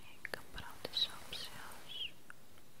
Ik kan brandensap zelfs. Oké.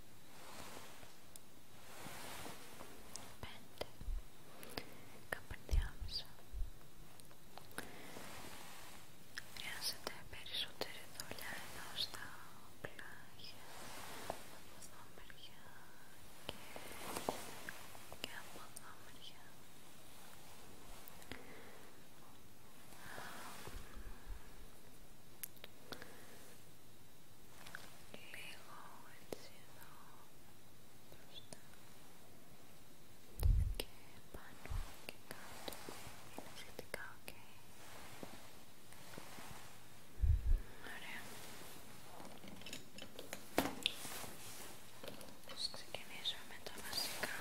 πέντε καπνιάμισα χρειάζεται περισσότερη δουλειά εδώ στα πλάγια από εδώ μεριά και, και από εδώ μεριά Λίγο έτσι εδώ μπροστά και πάνω και κάτω είναι σχετικά οκ. Ωραία. Ας ξεκινήσουμε με τα βασικά.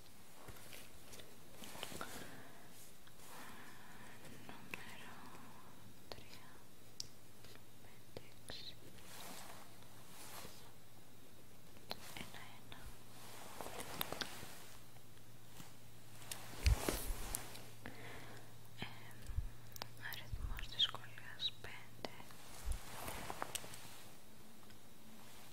Νούμερο ένα-ένα ε, αριθμός δυσκολίας 5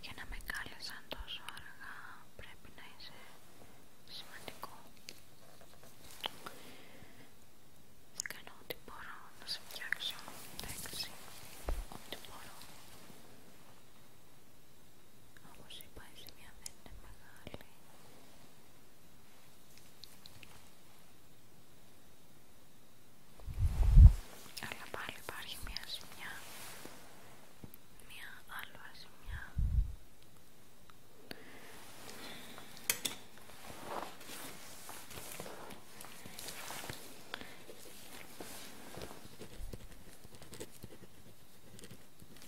Για να με κάλεσαν τόσο αργά πρέπει να είσαι σημαντικό. Θα κάνω ό,τι μπορώ να σε φτιάξω, εντάξει, ό,τι μπορώ. Όπως είπα δεν είναι μεγάλη. Αλλά πάλι υπάρχει μια ζημιά. Μια άλλη ζημιά. Δεν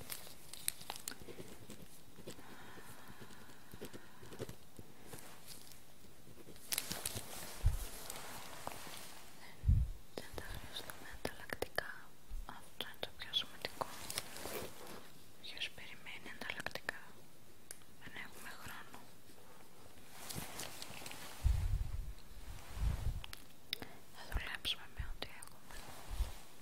τα χρειαστούμε ανταλλακτικά. Αυτό είναι το πιο σημαντικό. Ποιο περιμένει ανταλλακτικά. Δεν έχουμε χρόνο. Θα δουλέψουμε με ό,τι έχουμε.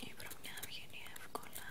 Η βρωμιά βγαίνει εύκολα.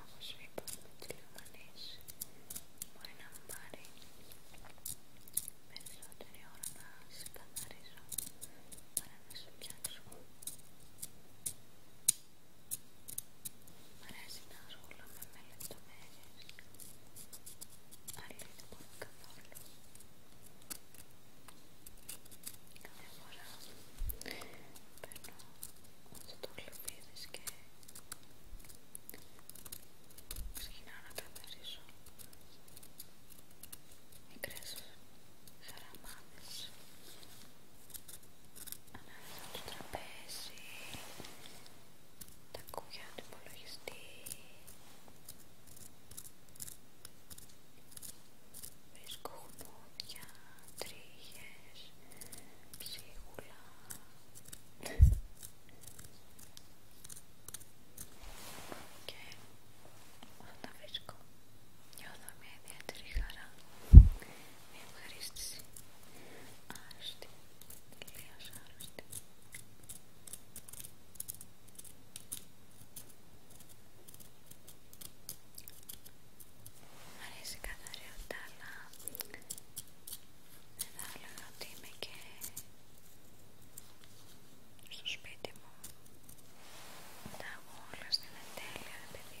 Όπως είπαμε τη λιμονής μπορεί να μου πάρει περισσότερη ώρα να σε συγκαθαρίζω παρά να σε φτιάξω Μ' αρέσει να ασχολούμαι με λεπτομέρειες αλλά δεν μπορώ καθόλου. Κάθε φορά παίρνω όσο το γλυφίδες και ξεκινάω να καθαρίσω μικρές χαραμάδες ανάμεσα στο τραπέζι τα κουμπιά του υπολογιστή βρίσκω χουμόδια, τρίχες, ψίγουλα. και όταν τα βρίσκω νιώθω μια ιδιαίτερη χαρά μια ευχαρίστηση άρρωστη, τελείως άρρωστη Μ' αρέσει καθαριότητα, αλλά δεν θα έλεγα ότι είμαι και στο σπίτι μου. Τα έχω όλα στην εντέλεια, ρε παιδί.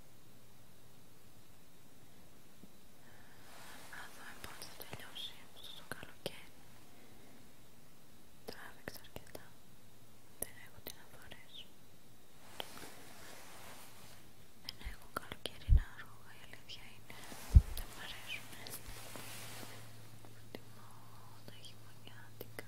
Να δούμε πότε θα τελειώσει αυτό το καλοκαίρι. Τράβηξα αρκετά. Δεν έχω τι να φορέσω. Δεν έχω καλοκαιρινά ρούχα, η αλήθεια είναι. Δεν παρέσουν. αρέσουν. τα χειμωνιάτικα.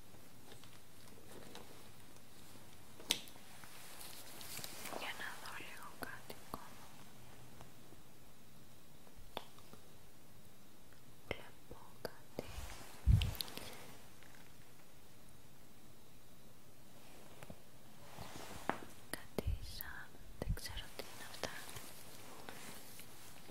Για να δω λίγο κάτι ακόμα. Βλέπω κάτι. Κάτι σαν... δεν ξέρω τι είναι αυτά.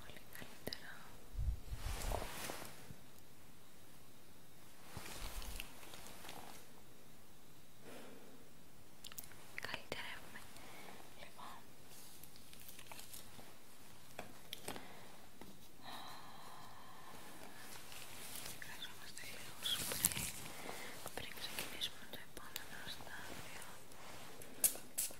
Πολύ καλύτερα. Καλύτερα έχουμε. Λοιπόν. Χρειαζόμαστε λίγο σπρέι πριν ξεκινήσουμε το επόμενο στάδιο.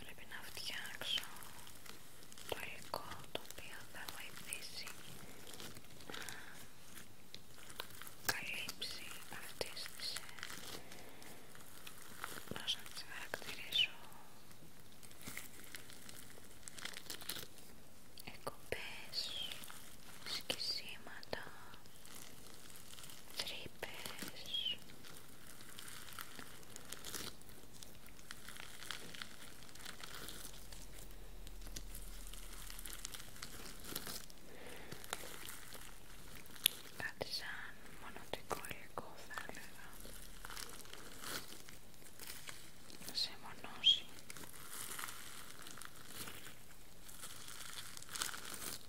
Πρέπει να φτιάξω το υλικό το οποίο θα βοηθήσει να καλύψει αυτές τις ε, πώς να τις χαρακτηρίσω εκοπές, σκισίματα τρύπες κάτι σαν μονοτικό υλικό θα έλεγα να σε μονώσει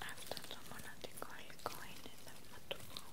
After someone had to coin in the football.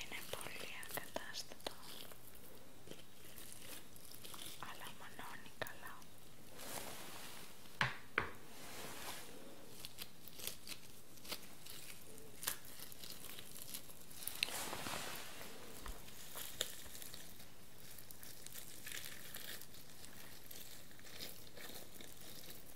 Είναι πολύ ακατάστατο αλλά μονώνει καλά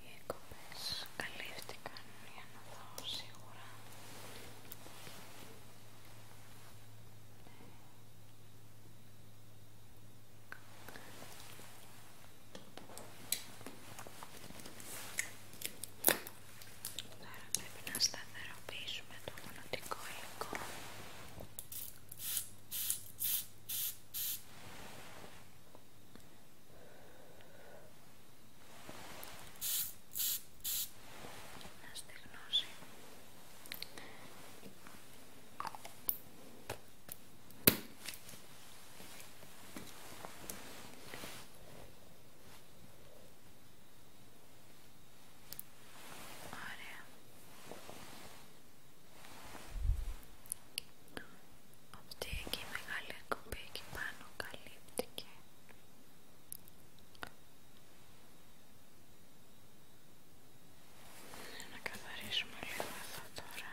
Οι εκπομπές καλύφθηκαν για να δω σίγουρα Τώρα πρέπει να σταθεροποιήσουμε το μονοτικό υλικό. Να στεγνώσει. Ωραία. Αυτή και η μεγάλη εκπομπή εκεί πάνω καλύπτηκε. Να καθαρίσουμε λίγο εδώ τώρα.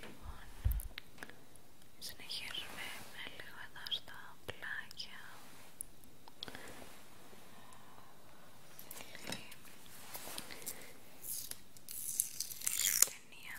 Λοιπόν, συνεχίζουμε με λίγο εδώ στα πλάκια. Αυτή η ταινία.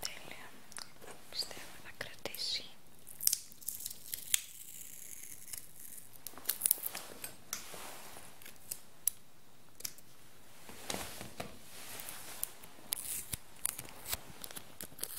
Τέλεια. Πιστεύω θα κρατήσει.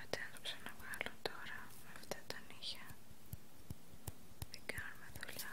Αντί να βγάλω τώρα με αυτά τα νύχια δεν κάνουμε δουλειά.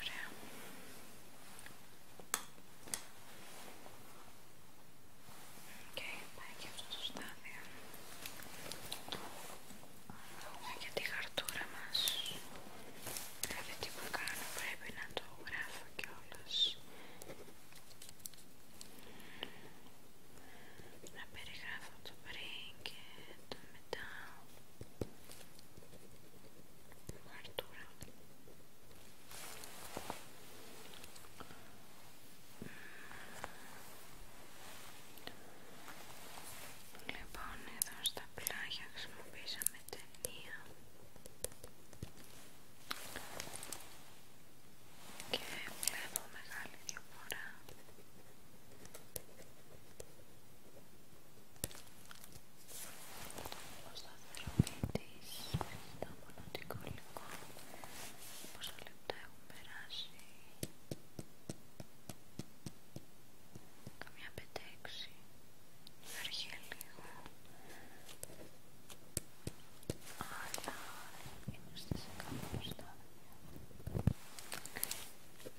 Ωραία. και πάει και αυτό το στάδιο. Ωραία για τη χαρτούρα μας. Κάθε τι που κάνω να το γράφω κιόλας. Να περιγράφω το πριν και το μετά. Λοιπόν εδώ στα πλάγια χρησιμοποιήσαμε ταινία και βλέπω μεγάλη διαφορά ο σταθεροποιητής το μονοτικό υλικό πόσα λεπτά έχουν περάσει καμιά 5-6 λίγο αλλά είναι στις 100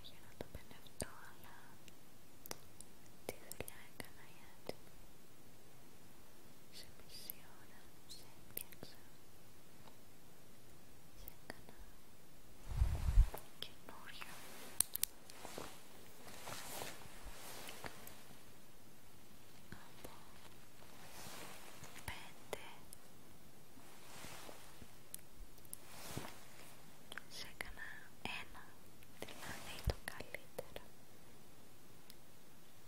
Όχι να το πενευτώ, αλλά τη δουλειά έκανα γιατί σε μισή ώρα σε έφτιαξα. Σε έκανα καινούριο. Από πέντε. Σε έκανα ένα, δηλαδή το καλύτερο.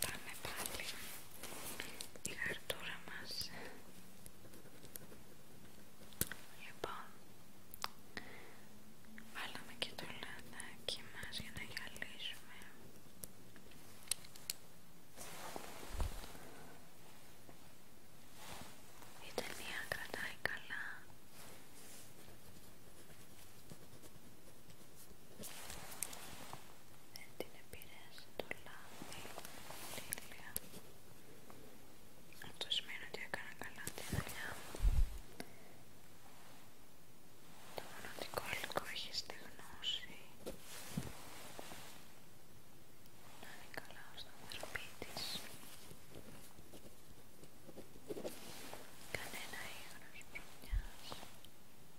Πάμε πάλι η γαρτούρα μας. Λοιπόν, βάλαμε και το και μας για να γυαλίσουμε. Η ταινία κρατάει καλά δεν την επηρέαζε το λάδι η τέλεια αυτό σημαίνει ότι έκανα καλά τη δουλειά μου το μοναδικό υλικό έχει στη γνώση να είναι καλά ως το θεραπή της κανένα ίχνος προμοιάζει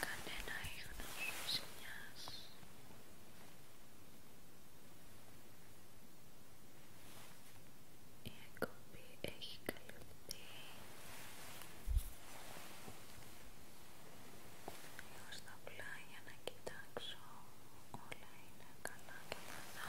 κανένα ίχνος ζημιάς η εκπομπή έχει καλυφθεί λίγο στα πλάγια να κοιτάξω όλα είναι καλά και θα